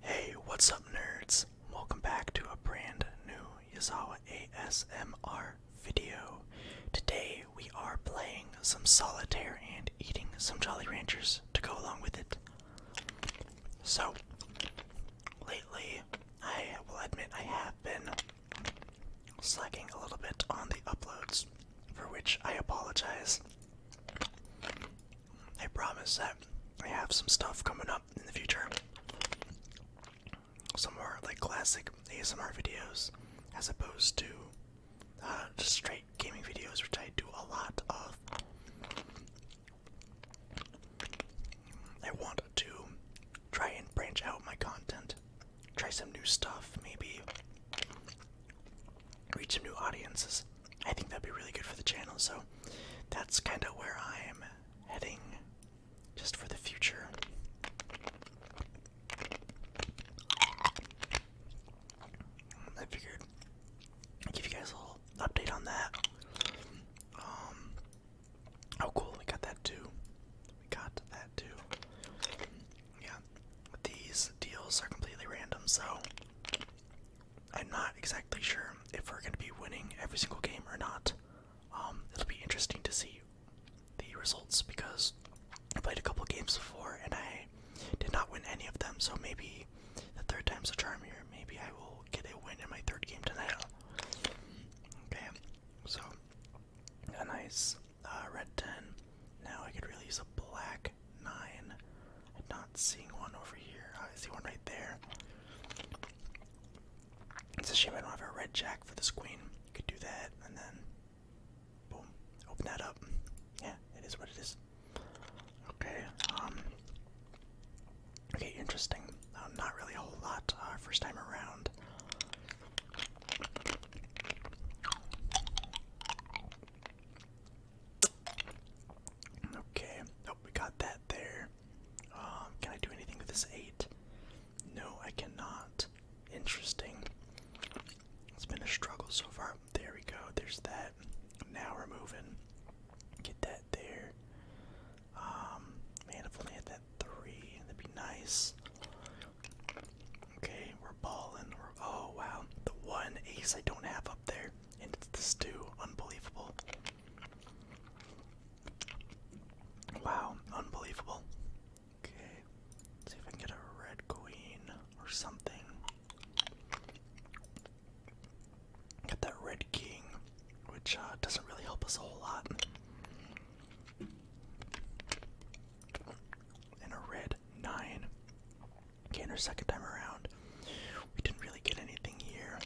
Hey, what's up, nerds? Welcome back to a brand new Yazawa ASMR video. Today we are playing some solitaire and eating some Jolly Ranchers to go along with it. So, lately, I will admit I have been slacking a little bit on the uploads, for which I apologize. I promise that I have some stuff coming up in the future. Some more like classic ASMR videos as opposed to uh, just straight gaming videos, which I do a lot of. I want to try and branch out my content, try some new stuff, maybe reach some new audiences. I think that'd be really good for the channel. So that's kind of where I am heading just for the future. I figured give you guys a little update on that. Um, oh, cool, we got that too. We got that too. Yeah, these deals are completely random, so I'm not exactly sure if we're going to be winning every single game or not. Um, it'll be interesting to see the results because I played a couple games before and I did not win any of them. So maybe the third time's a charm here. Maybe I will get a win in my third game tonight. Okay, so a nice uh, red 10. Now I could really use a black nine. not seeing one over here. I see one right there. It's a shame I don't have a red jack for this queen. Could do that and then boom. Open that up. Yeah, it is what it is. Okay, um, Okay, interesting. Um, not really a whole lot uh, first time around. Okay. Oh, we got that there. Um, can I do anything with this eight? No, I cannot. Interesting. It's been a struggle so far. There we go. There's that. Now we're moving. Get that there. Um, man, if only had that three, that'd be nice. Okay, we're balling. We're, oh wow, the one ace I don't have up there it's the stew. Unbelievable. Wow, unbelievable. Okay, let's see if I can get a red queen or something. Got that red king, which uh, doesn't really help us a whole lot. And a red nine. Okay, and our second time around, we didn't really get anything here.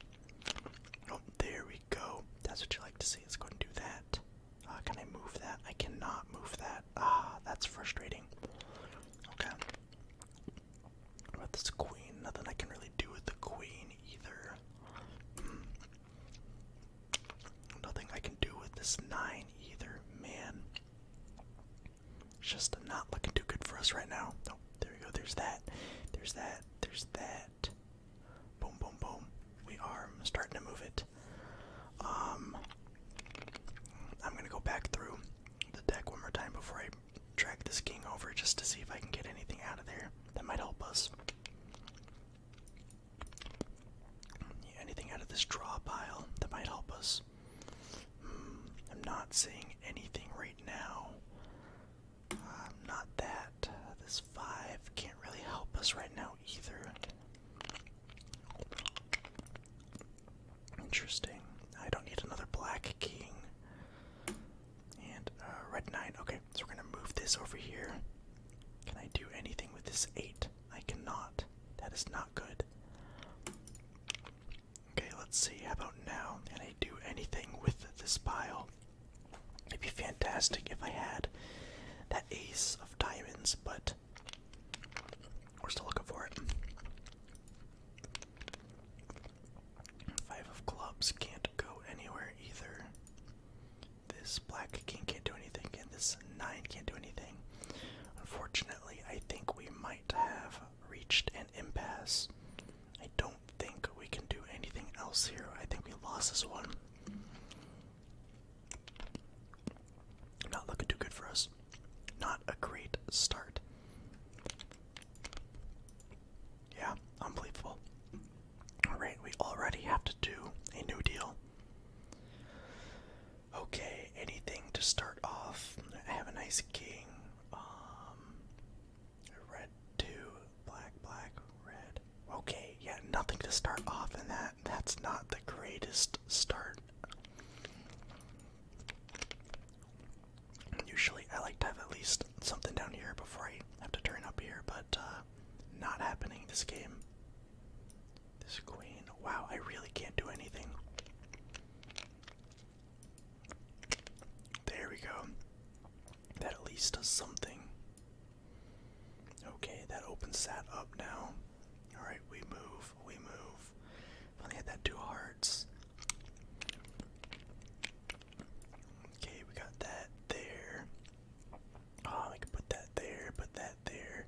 Oh, there we go. That's what you like to see. Let's go and do that. Uh, can I move that? I cannot move that. Ah, that's frustrating. Okay. What about this queen? Nothing I can really do with the queen either. Hmm. Nothing I can do with this nine either. Man. It's just not looking too good for us right now. Oh, there we go. There's that. There's that. There's that. Boom, boom, boom. We are starting to move it. Um, I'm gonna go back through the deck one more time before I drag this king over, just to see if I can get anything out of there that might help us. anything out of this draw pile that might help us. Hmm, I'm not seeing anything right now um, not that. This 5 can't really help us right now either. Interesting. I don't need another black king. And uh, red knight. Okay, so we're going to move this over here. Can I do anything with this 8? I cannot. That is not good. Okay, let's see. How about now? Can I do anything with this pile? It'd be fantastic if I had that ace of diamonds, but we're still looking for it. Five of clubs can't go anywhere either. This black king can't do anything, and this nine can't do anything. Unfortunately, I think we might have reached impasse. I don't think we can do anything else here. I think we lost this one. Not looking too good for us. Not a great start. Yeah, unbelievable. Alright, we already have to do a new deal. Okay, anything to start off. have a nice king. Um, Red two, black, black, red. Okay, yeah, nothing to start off in that. That's not the greatest start. Usually I like to have at least something down here before I have to turn up here, but uh, not happening this game. This queen. Wow, I really can't do anything. There we go. That at least does something. Okay, that opens that up now. Alright, we move, we move. Finally had that two hearts. Okay, we got that there. Oh, ah, I can put that there, put that there.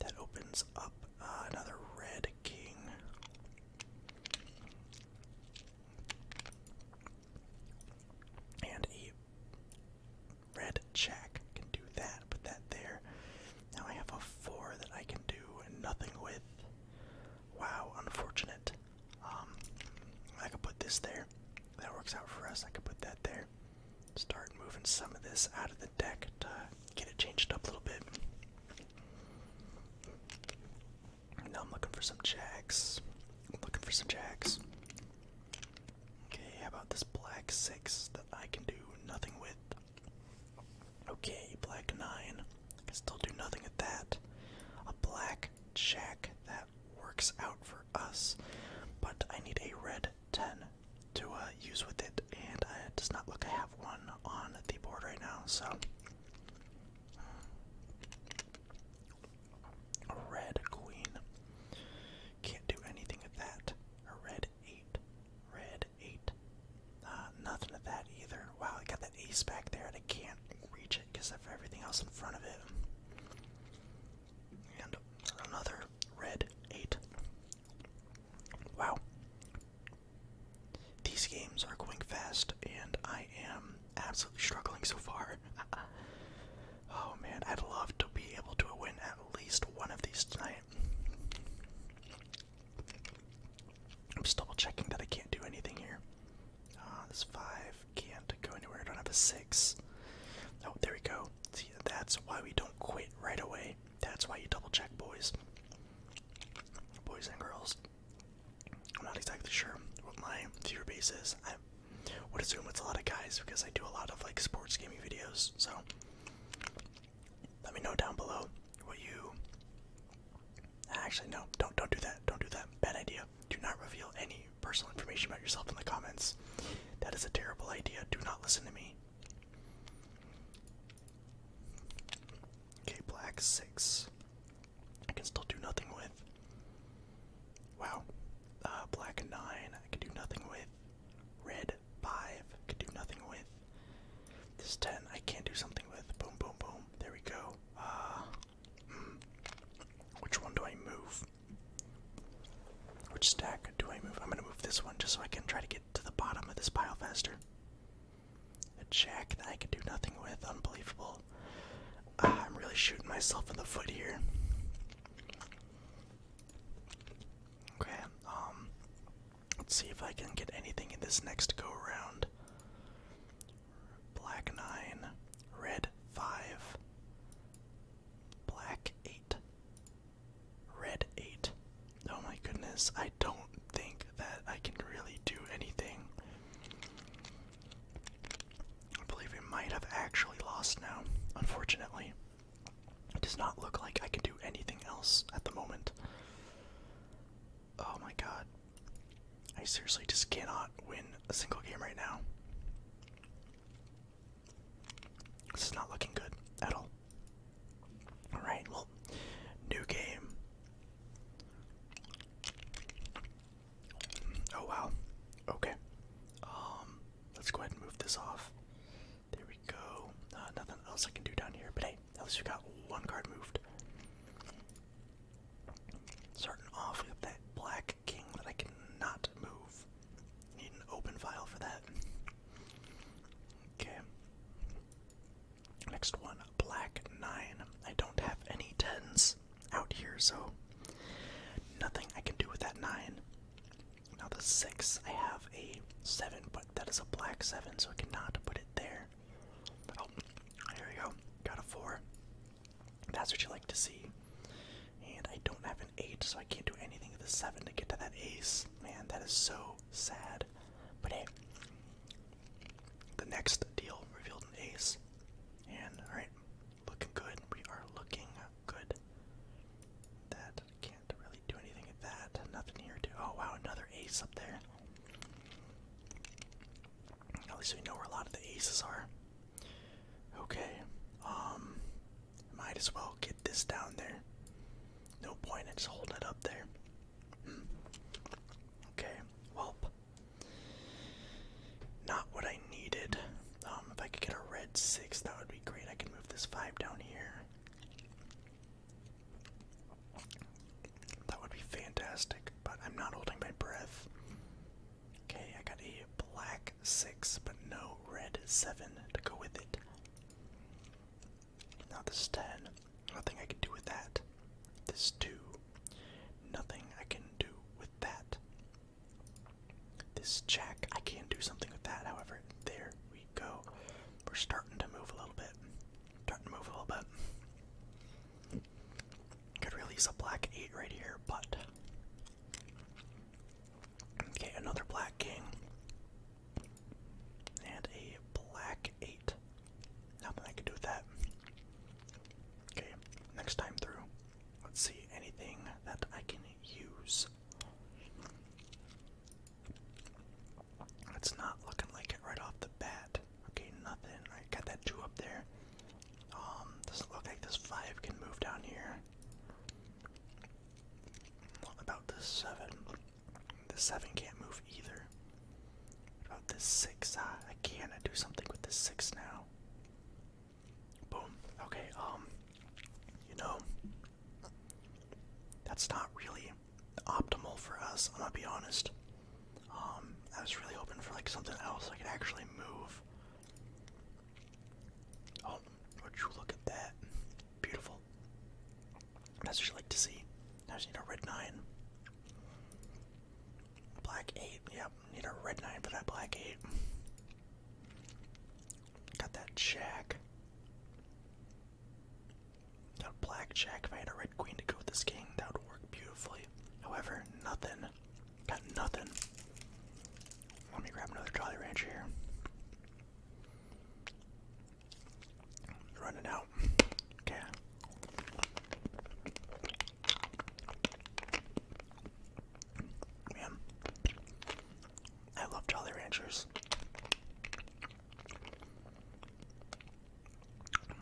That opens up uh, another red king. And a red check can do that, put that there. Now I have a four that I can do and nothing with. Wow, unfortunate. Um, I could put this there. That works out for us. I could put that there. Start moving some of this out of the deck to get it changed up a little bit. Now I'm looking for some jacks. I'm looking for some jacks. Okay, how about this black six that I can do nothing with? Okay, black nine. I can still do nothing at that. A black jack that works out for us, but I need a red ten to uh, use with it, and uh, it does not look I have one on the board right now. So red queen. Can't do anything with that. red eight. Red eight. Uh, nothing at that either. Wow, I got that ace back there and I can't reach it because of everything else in front of it. And another red eight. Wow. These games are going fast and I am absolutely struggling so far. Uh, oh man, I'd love to be able to win at least one of these tonight. I'm double checking that I can't do anything here. Ah, this five can't go anywhere. I don't have a six. Oh, there we go. See, that's why we don't quit right away. That's why you double check, boys. Boys and girls. I'm not exactly sure what my viewer base is. I would assume it's a lot of guys because I do a lot of like sports gaming videos. So let me know down below what you. Actually, no, don't don't do that. Don't do that. Bad idea. Do not reveal any personal information about yourself in the comments. That is a terrible idea. Do not listen to me. Okay, black six. I can still do nothing with. Wow. Uh, black 9, I can do nothing with. Red 5, can do nothing with. This 10, I can not do something with. Boom, boom, boom. There we go. Uh, which one do I move? Which stack do I move? I'm going to move this one just so I can try to get to the bottom of this pile faster. A jack that I can do nothing with. Unbelievable. Ah, I'm really shooting myself in the foot here. Okay, um, let's see if I can get anything in this next go round. Black 9, red 5, black 8, red 8. Oh my goodness, I don't think that I can really do anything. I believe we might have actually lost now, unfortunately. It does not look like I can do anything else at the moment. Oh my god. I seriously just cannot win a single game right now. This is not looking good at all. Alright, well, new game. Oh wow. Okay. Um, let's go ahead and move this off. There we go. Uh, nothing else I can do down here, but hey, at least we got one card moved. Starting off with that black king that I cannot move. Need an open file for that. Okay. Next one, black nine. I don't have any tens out here, so nothing I can do with that nine. Now the six, I have a seven, but that is a black seven, so I cannot put it there. Oh, there we go. Got a four. That's what you like to see. And I don't have an eight, so I can't do anything with the seven to get to that ace. Man, that is so sad. But hey, the next deal revealed an ace. And alright, Looking good. We are looking good. That can't really do anything at that. Nothing here to. Oh wow, another ace up there. At least we know where a lot of the aces are. Okay. Um. Might as well get this down there. No point in just holding it up there. Hmm. Okay. Welp. Not what I needed. Um, if I could get a red six, that would be great. I can move this five down here. That would be fantastic, but I'm not holding my breath. Okay, I got a black six, but no red seven to go with it. Not this is ten. Nothing I can do with that. This two. Nothing I can do with that. This jack, I can do something with that, however. There we go. We're starting to move a little bit. Starting to move a little bit. Could release a black 8 right here, but. Okay, another black king. And a black 8. Nothing I can do with that. Okay, next time through, Let's see, anything that I can use. It's not looking like it right off the bat. Okay, nothing. I got that two up there. Um, doesn't look like this five can move down here. about this seven? This seven can't move either. about this six? Ah, I can. I do something with this six now. Boom. Okay, um, you know, that's not really optimal for us, I'm gonna be honest. Um, I was really hoping for like something else I could actually move. Oh, would you look at that? Beautiful. That's what you like to see. I just need a red nine. Black 8, yep, need a red 9 for that black 8. Got that jack. Got a black jack. I had a red queen to go with this king, that would work beautifully. However, nothing. Got nothing. Let me grab another Jolly Rancher here. Running out. Okay. Man, I love Jolly Ranchers.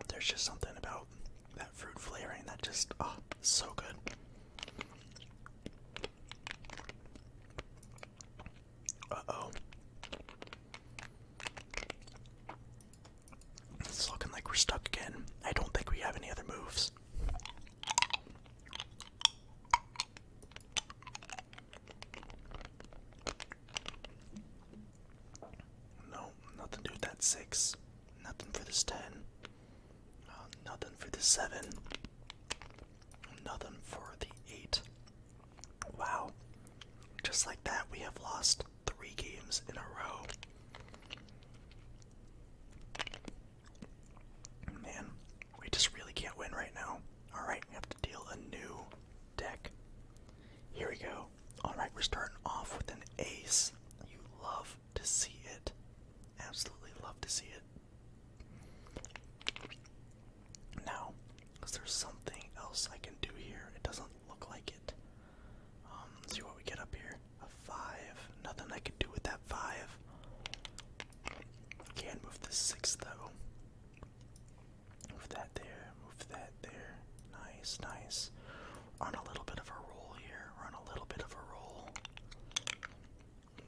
There's just something about that fruit flavoring that just, oh, so good. Uh oh. It's looking like we're stuck again. I don't think we have any other moves. No, nothing to that six. Nothing for this ten. Uh, nothing for the seven. Nothing for the eight. Wow. Just like that, we have lost three games in a row. Man, we just really can't win right now. Alright, we have to deal a new deck. Here we go. Alright, we're starting off with an ace. You love to see it. Absolutely love to see it. Now, is there something else I can do here? It doesn't look like it. Um, let's see what we get up here. A five. Nothing I can do with that five. Can move the six though. Move that there. Move that there. Nice, nice. On a little bit of a roll here. on a little bit of a roll.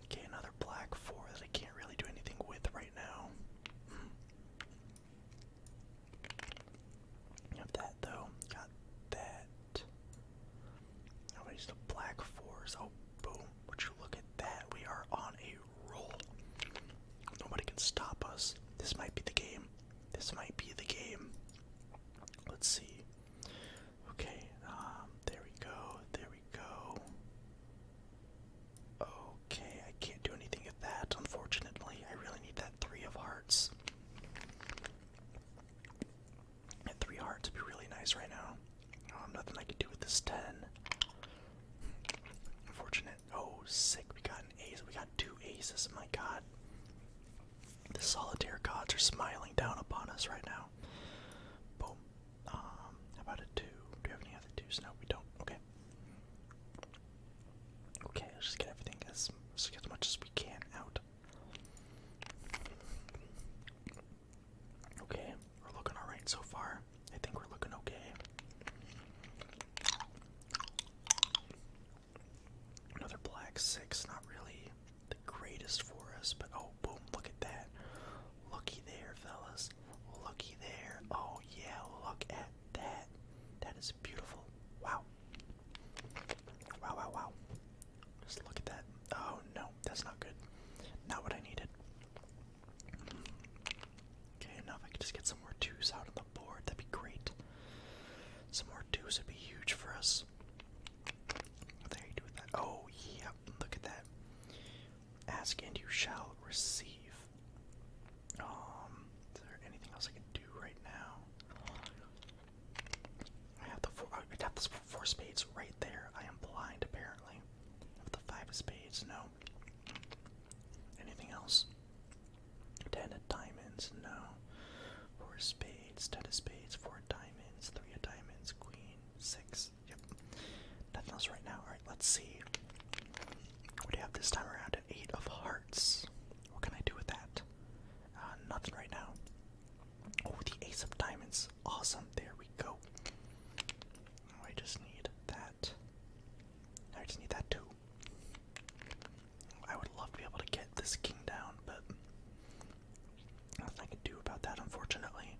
Okay, another black four that I can't really do anything with right now. Hmm. Got that though. Got that. Nobody's the black fours. Oh, boom. Would you look at that? We are on a roll. Nobody can stop us. This might be the game. This might be the game. Let's see. Okay, um, there we go. There we go. Okay, I can't do anything at that, unfortunately. I really need that three of hearts. At three hearts would be really nice right now. Um, nothing I could do with this ten. Unfortunate. Oh, sick. We got an ace. We got two aces. My god. The solitaire gods are smiling down upon us right now. Boom. Um, about a two? Do we have any other twos? No, we don't. Okay. Okay, let's just get everything as, as, as much as we can out. Okay, we're looking alright so far. I think we're looking okay. Another black six, not really the greatest for us, but oh, boom, look at that. Looky there, fellas. Looky there. Oh, yeah, look at that. That is beautiful. Wow. Wow, wow, wow. Just look at that. Oh no, that's not good. Not what I needed. Okay, now if I could just get some more twos out on the board, that'd be great. Some more twos would be huge for us. There you do that. Oh yeah, look at that. Ask and you shall receive. Um, is there anything else I can do right now? I have the four. I have the four spades right there. I am blind, apparently. the five spades, no. Anything else? Ten of diamonds, no. Four spades, ten of spades, four diamonds, three of diamonds, queen, six. Yep. Nothing else right now. All right, let's see. What do you have this time around? eight of hearts. What can I do with that? Uh, nothing right now. Oh, the ace of diamonds awesome. There we go. Oh, I just need that. I just need that too. I would love to be able to get this king down, but nothing I can do about that, unfortunately.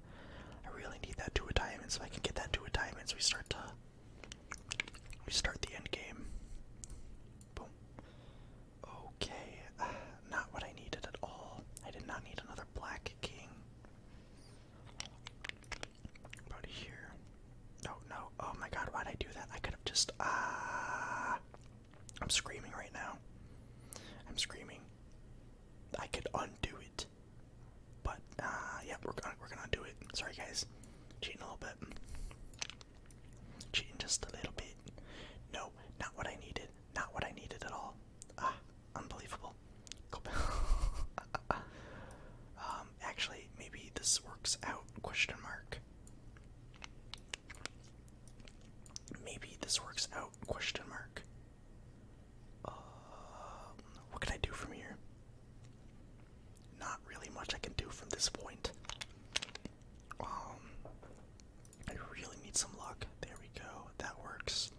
I really need that two diamonds. If I can get that two diamonds, we start to we start the end game. Boom. Okay not what I needed at all. I did not need another black king. About here. No, no. Oh my god, why'd I do that? I could have just. Ah! I'm screaming right now. I'm screaming. I could undo it. But, ah, uh, yeah, we're gonna, we're gonna do it. Sorry, guys. Cheating a little bit. Cheating just a little bit. No, not what I needed. Not what I needed at all. Ah, unbelievable. um, actually, maybe this works out, question mark. Maybe this works out, question mark. Uh, what can I do from here? Not really much I can do from this point. Um, I really need some luck. There we go. That works.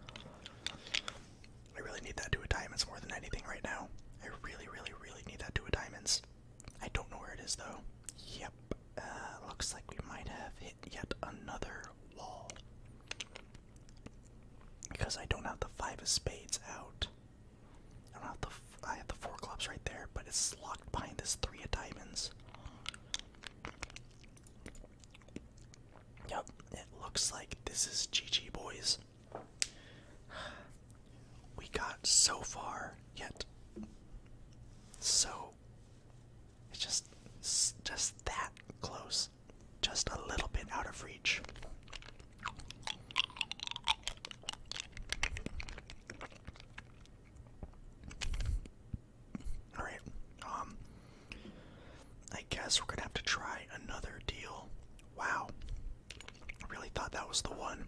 I really need that two of diamonds more than anything right now. I really, really, really need that two of diamonds. I don't know where it is though. Yep. Uh, looks like we might have hit yet another wall. Because I don't have the five of spades out. I don't have the. F I have the four clubs right there, but it's locked behind this three of diamonds. Yep, it looks like this is GG, boys. We got so far, yet so it's just just that close, just a little bit out of reach. All right. Um, I guess we're gonna have to try another deal. Wow. I Really thought that was the one.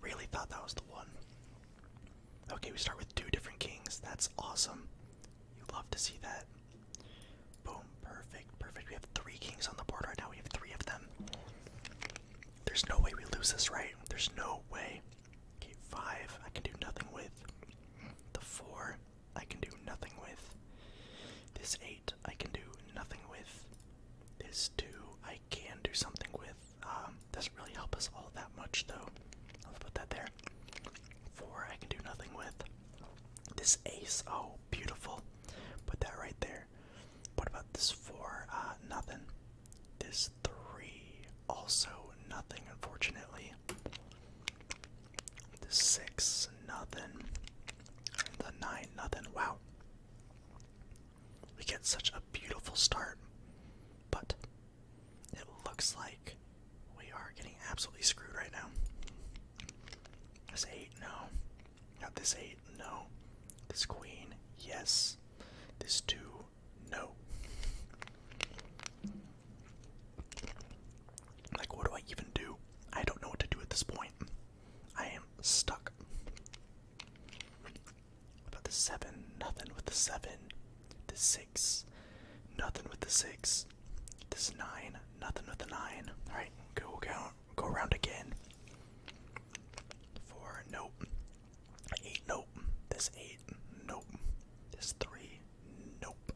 Really thought that was the one. Okay, we start with two different kings. That's awesome. You love to see that. Boom. Perfect. Perfect. We have three kings on the board right now. We have three of them. There's no way we lose this, right? There's no way. Okay, five. I can do nothing with the four. I can do nothing with. This 8, I can do nothing with. This 2, I can do something with. Um, doesn't really help us all that much, though. Let's put that there. 4, I can do nothing with. This ace, oh, beautiful. Put that right there. What about this 4? Uh, nothing. This 3, also nothing, unfortunately. The six nothing. The nine nothing. Wow. We get such a beautiful start, but it looks like we are getting absolutely screwed right now. This eight, no. Not this eight, no. This queen, yes. This two, no. Like, what do I even do? I don't know what to do at this point. I am stuck. What about the seven? Nothing with the seven. The six. Nothing with the six. This nine. Nothing with the nine. Alright, go count. Go around again. Four. Nope. Eight. Nope. This eight. Nope. This three. Nope.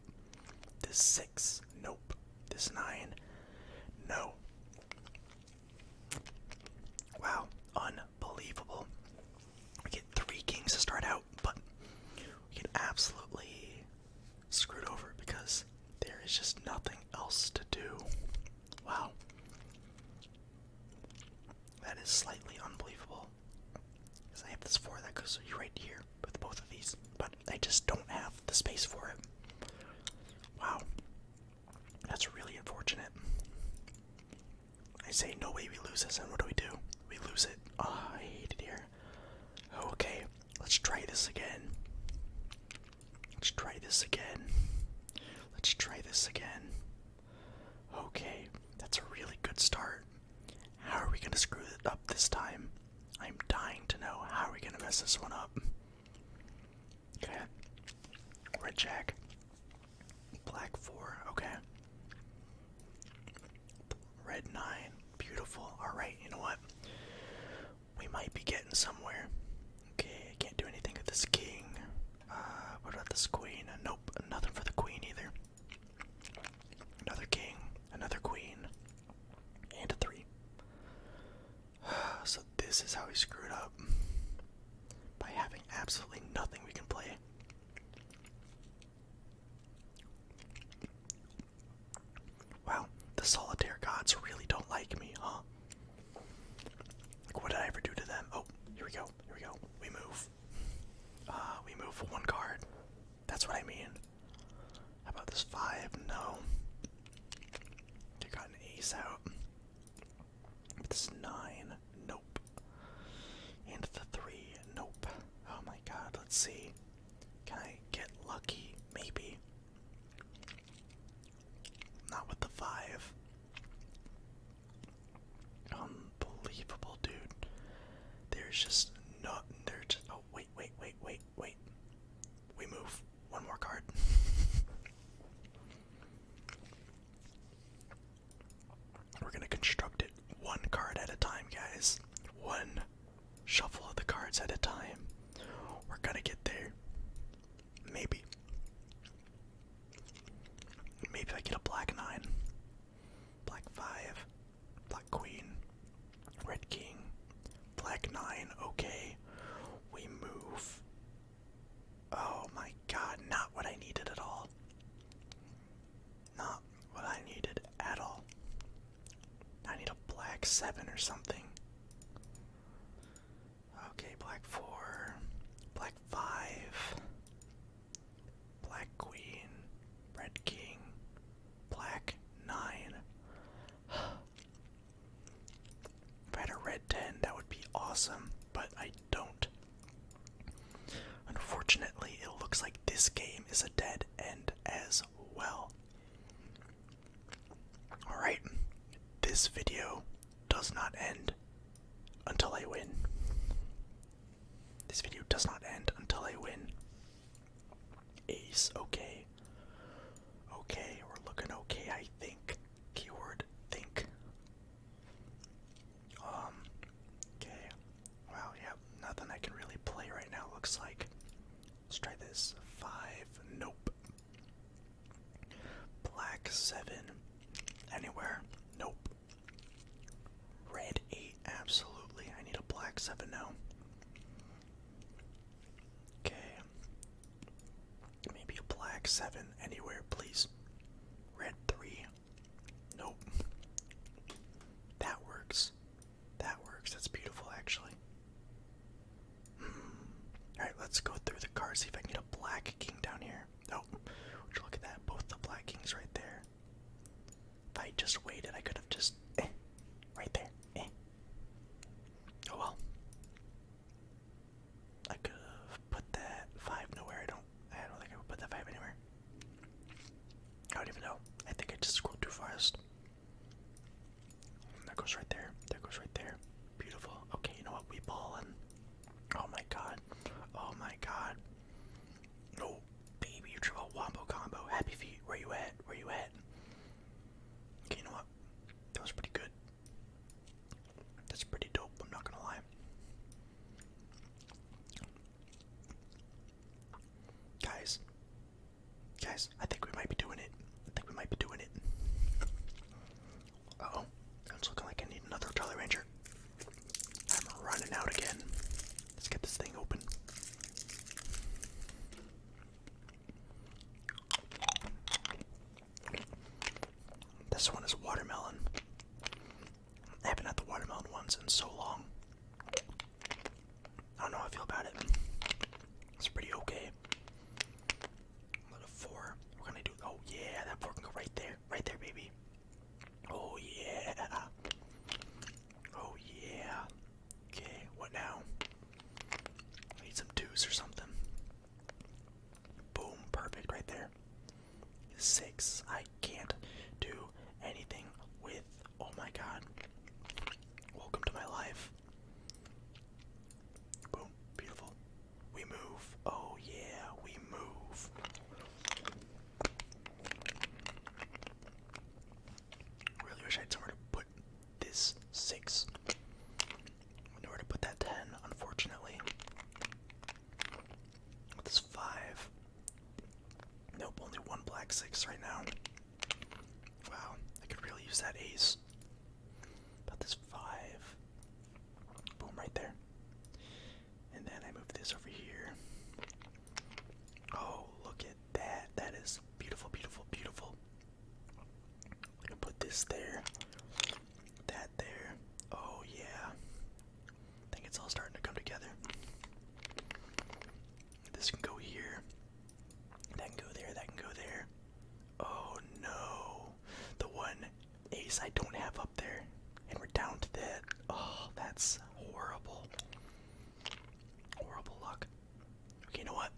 This six. Nope. This nine. No. Wow. Unbelievable. We get three kings to start out, but we get absolutely screwed over because there is just nothing else to do. Wow. That is slightly unbelievable. Because I have this four that goes right here with both of these, but I just don't have the space for it. Wow. That's really unfortunate. I say, no way we lose this, and what do we do? We lose it. oh, I hate it here. Okay, let's try this again. Let's try this again. Let's try this again. Okay, that's a really good start. How are we gonna screw it up this time? I'm dying to know how are we gonna mess this one up. Okay. Red Jack. Black four, okay. Red nine. Beautiful. Alright, you know what? We might be getting somewhere. Okay, I can't do anything with this king. Uh, what about this queen? Uh, nope, nothing for the queen either. Another king, another queen, and a three. So this is how he screwed up. By having absolutely nothing we can play. Wow, the solitaire gods really don't like me, huh? Like, what did I ever do to them? Oh, here we go, here we go. We move. Uh, we move one card. That's what I mean. How about this five? No. You got an ace out. this nine, nope. And the three, nope. Oh my god, let's see. Can I get lucky? Maybe. Not with the five. Unbelievable, dude. There's just not. There's. Oh, wait wait, wait, wait, wait, We move. One more card. We're gonna construct it one card at a time, guys. One shuffle of the cards at a time. We're gonna get there. Maybe. Maybe I get a black nine. Black five. Black Queen, Red King, Black Nine, okay. We move. Oh my god, not what I needed at all. Not what I needed at all. I need a black seven or something. Okay, black four, black five, black queen, red king, Black 9. If I had a red 10, that would be awesome, but I don't. Unfortunately, it looks like this game is a dead end as well. Alright, this video does not end until I win. This video does not end until I win. Ace, okay. Okay, we're looking okay, I think. Keyword think. Um, okay. Wow, yeah, nothing I can really play right now, looks like. Let's try this. Five, nope. Black, seven. Anywhere, nope. Red, eight, absolutely. I need a black, seven now. Okay. Maybe a black seven anywhere, please. Red three. Nope. That works. That works. That's beautiful, actually. Hmm. Alright, let's go through the card, see if I can get a black king down here. Oh, look at that? Both the black kings right there. If I just waited, I could have just. Eh, right there. Eh. Oh well. I could put that five nowhere. I don't. I don't think I would put that five anywhere. I don't even know. I think I just scrolled too fast. That goes right there. That goes right there. Beautiful. Okay, you know what? We ball Oh my god. Oh my god. No. Baby, you triple wombo combo. Happy feet. Where you at? Where you at? Okay, you know what? That was pretty good. That's pretty dope, I'm not gonna lie. Guys. Guys, I think we might be doing it. I think we might be doing it. Uh oh. It's looking like I need another Jolly Ranger. I'm running out again. Let's get this thing open. This one is watermelon. I haven't had the watermelon ones in so long. I don't know how I feel about it. It's pretty okay. Another four. We're gonna do. Oh yeah, that four can go right there, right there, baby. Oh yeah. Oh yeah. Okay, what now? need some twos or something. Boom, perfect right there. Six. I can't do anything with. Oh my god. Welcome to my life. Boom, beautiful. We move. Oh yeah, we move. Really wish I had somewhere to put this 6. Nowhere to put that 10, unfortunately. this 5. Nope, only one black 6 right now. Wow, I could really use that ace. But this 5. Boom, right there. And then I move this over here. Oh, look that. That is beautiful, beautiful, beautiful. We to put this there, that there. Oh, yeah. I think it's all starting to come together. This can go here. That can go there. That can go there. Oh no. The one ace I don't have up there. And we're down to that. Oh, that's horrible. Horrible luck. Okay, you know what?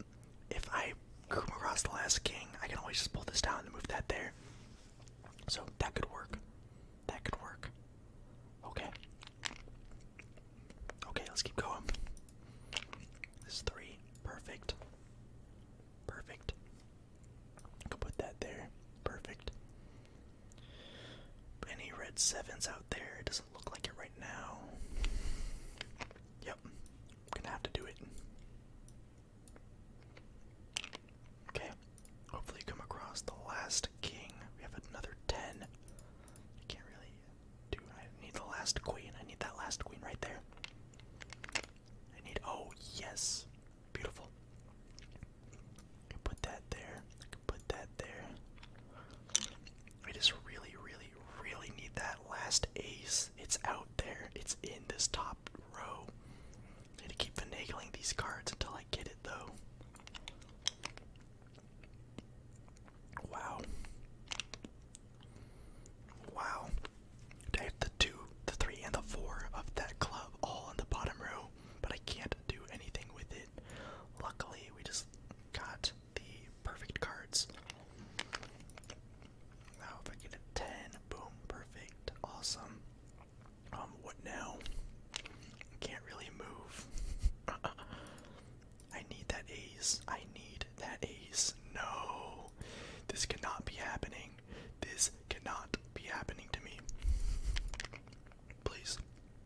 If I come across the last king, I can always just pull this down and move that there. So that could work. That could work. Okay. Okay, let's keep going. This three. Perfect. Perfect. I put that there. Perfect. Any red sevens out there? look like it right now. Yep, gonna have to do it. Okay, hopefully come across the last king. We have another ten. I can't really do. I need the last queen. I need that last queen right there. I need. Oh yes, beautiful. put that there. put that there. I just really, really, really need that last ace. It's out there. It's in this top row. I to keep finagling these cards until I get it, though. Wow. Wow. I have the two, the three, and the four of that club all in the bottom row, but I can't do anything with it. Luckily, we just got the perfect cards. Now, if I get a 10, boom, perfect, awesome. Um, what now? Can't really move. I need that ace. I need that ace. No. This cannot be happening. This cannot be happening to me. Please.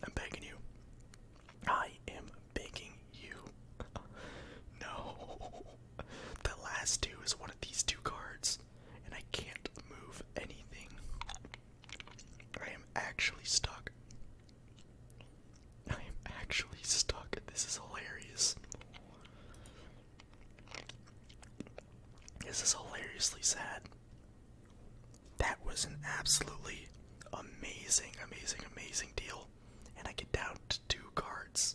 I'm begging you. I am begging you. no. The last two is one of these two cards, and I can't move anything. I am actually stuck. I am actually stuck. This is hilarious. This is hilariously sad. That was an absolutely amazing, amazing, amazing deal. And I get down two cards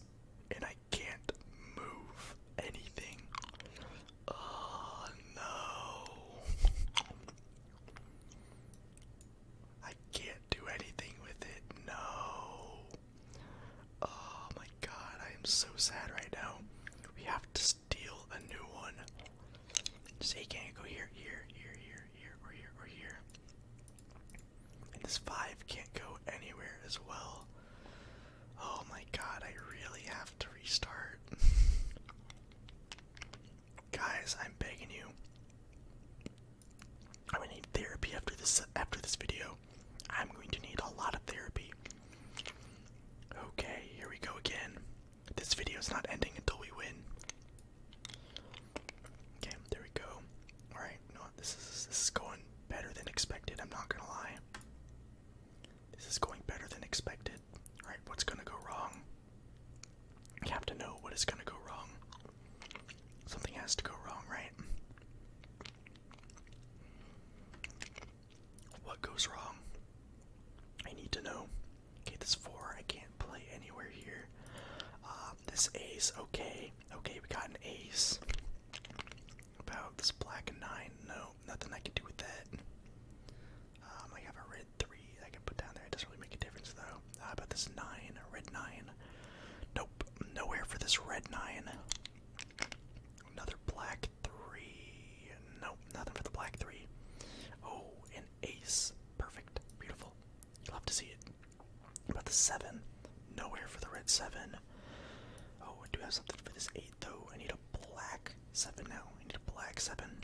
and I can't move anything. Oh no. I can't do anything with it. No. Oh my god, I am so sad right now. We have to steal a new one. Say, can't go here, here, here, here, here, or here, or here this five can't go anywhere as well. Oh my god, I really have to restart. Guys, I'm begging you. I'm gonna need therapy after this after this video. I'm going to need a lot of therapy. Okay, here we go again. This video is not ending until we win. Okay, there we go. All right, no, this is this is going better than expected. I'm not gonna lie. This is going better than expected. All right, what's gonna go wrong? I have to know what is gonna go wrong. Something has to go wrong, right? What goes wrong? I need to know. Okay, this four I can't play anywhere here. Uh, this ace, okay. Okay, we got an ace. About this black nine, no, nothing I can do with that. Um, I have a red three I can put down there. It doesn't really make a difference though. about this nine, red nine? Nope, nowhere for this red nine. Another black three. Nope, nothing for the black three. Oh, an ace. Perfect. Beautiful. love to see it. About the seven. Nowhere for the red seven. Oh, I do have something for this eight though. I need a black seven now. I need a black seven.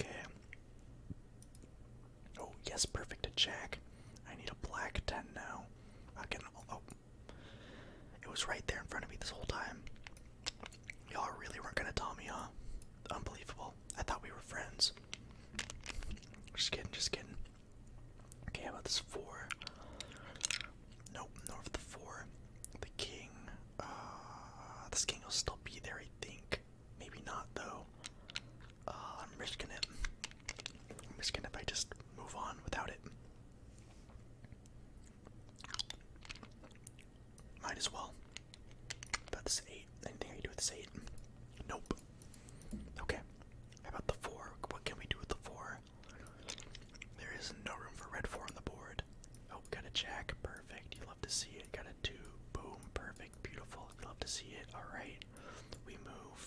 Okay. Oh yes, perfect. A jack. I need a black ten now. I oh, oh, it was right there in front of me this whole time. Y'all really weren't gonna tell me, huh? Unbelievable. I thought we were friends. Just kidding, just kidding. Okay, about this four? Nope, north of the four. The king. Uh, this king will still be there, I think. Maybe not, though. Uh, I'm risking it. I'm risking it if I just move on without it. Might as well. About That's eight. Anything I can do with this eight? Nope. Okay. about the four? What can we do with the four? There is no room for red four on the board. Oh, got a jack. Perfect. You love to see it. Got a two. Boom. Perfect. Beautiful. love to see it. All right. We move.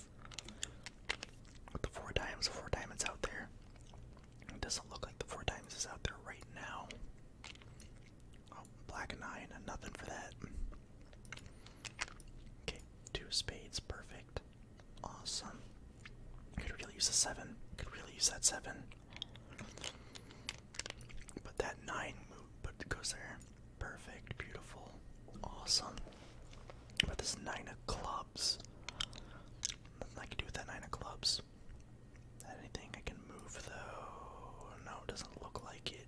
the four diamonds. Four diamonds out there. It doesn't look like the four diamonds is out there right now. Oh, black nine. Nothing for that. Okay, two spades, perfect. Awesome. Could really use a seven. Could really use that seven. But that nine move, but goes there. Perfect, beautiful, awesome. But this nine of clubs. Nothing I can do with that nine of clubs. Anything I can move though? No, doesn't look like it.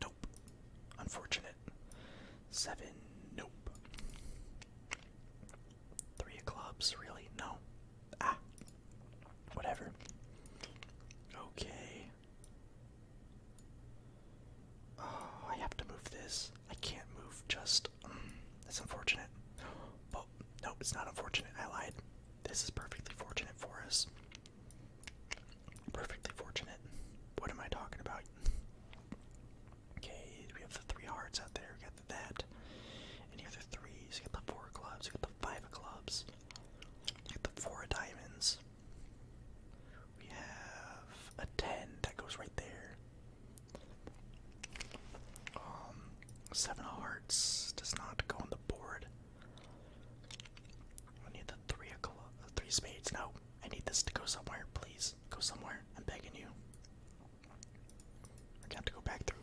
Nope. Unfortunate. Seven. Nope. Three clubs, really? No. Ah. Whatever. Okay. Oh, I have to move this. I can't move just. Mm, that's unfortunate. But, nope, it's not unfortunate. I lied. This is perfectly fortunate for us. Perfectly fortunate. What am I talking about? Okay, we have the three hearts out there. We got the, that. And here are the threes. You got the four clubs. You got the five clubs. You got the four diamonds. We have a ten that goes right there. Um, seven hearts does not go on the board. I need the three of three spades. No, I need this to go somewhere. Please go somewhere. I'm begging you. I got to go back through.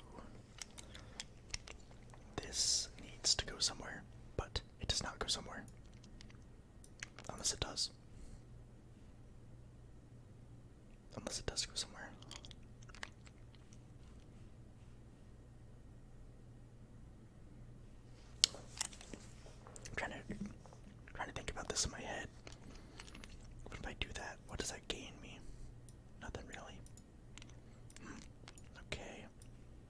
This needs to go somewhere, but it does not go somewhere. Unless it does. Unless it does go somewhere. I'm trying to trying to think about this in my head. But if I do that, what does that gain me? Nothing really. Okay.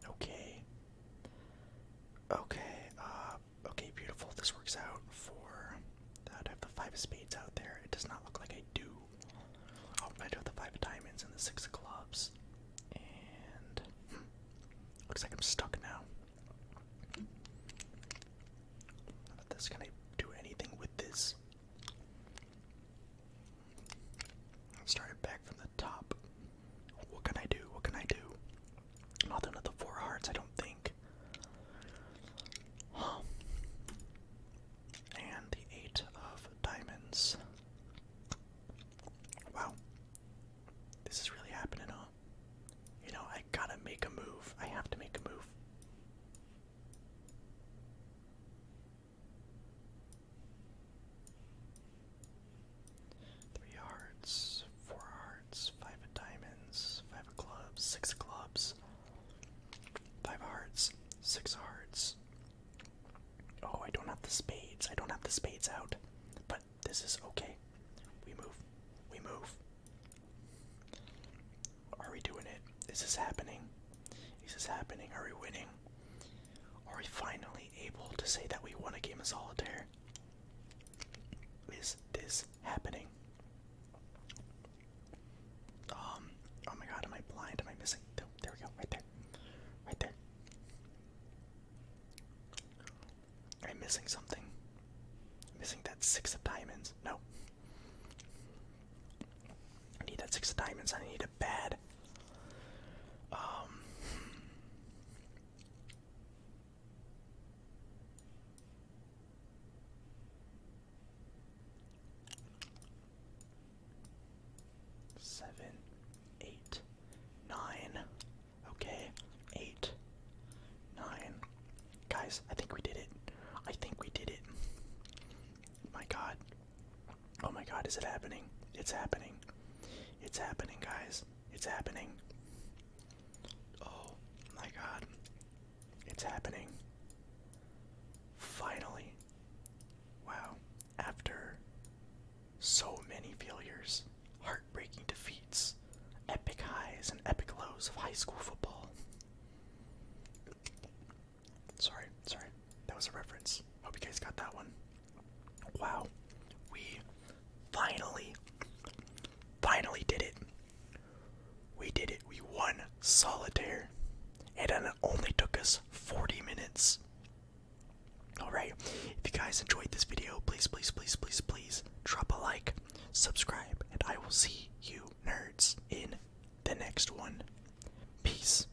Okay. Okay. Uh okay, beautiful. This works out for I have the five of spades out there. It does not look like I do. Oh, I do have the five of diamonds and the six of clubs. And hmm. Looks like I'm stuck now. Not that this can I do anything with this? Started back from the top. What can I do? What can I do? Nothing at four hearts, I don't think. And the eight of diamonds. Wow this is really happening, huh? You know, I gotta make a move. I have to make a move. Three hearts, four hearts, five of diamonds, five of clubs, six of clubs, five of hearts, six of hearts. Oh, I don't have the spades. I don't have the spades out this is okay. We move. We move. Are we doing it? Is this happening? Is this happening? Are we winning? Are we finally able to say that we won a game of solitaire? Is this happening? Um, oh my god, am I blind? Am I missing? There we go, right there. Right there. I'm missing something. I'm missing that six of diamonds. No. I need that six of diamonds. I need a bad. Um, seven, eight, nine. Okay, eight, nine. Guys, I think we did it. I think we did it. My god. Oh my god, is it happening? It's happening. It's happening, guys. It's happening. Oh my god. It's happening. Finally. Wow. After so many failures, heartbreaking defeats, epic highs, and epic lows of high school football. Sorry, sorry. That was a reference. Hope you guys got that one. Wow. We finally, finally did it. We did it. We won solitaire. And it only took us 40 minutes. Alright, if you guys enjoyed this video, please, please, please, please, please drop a like, subscribe, and I will see you nerds in the next one. Peace.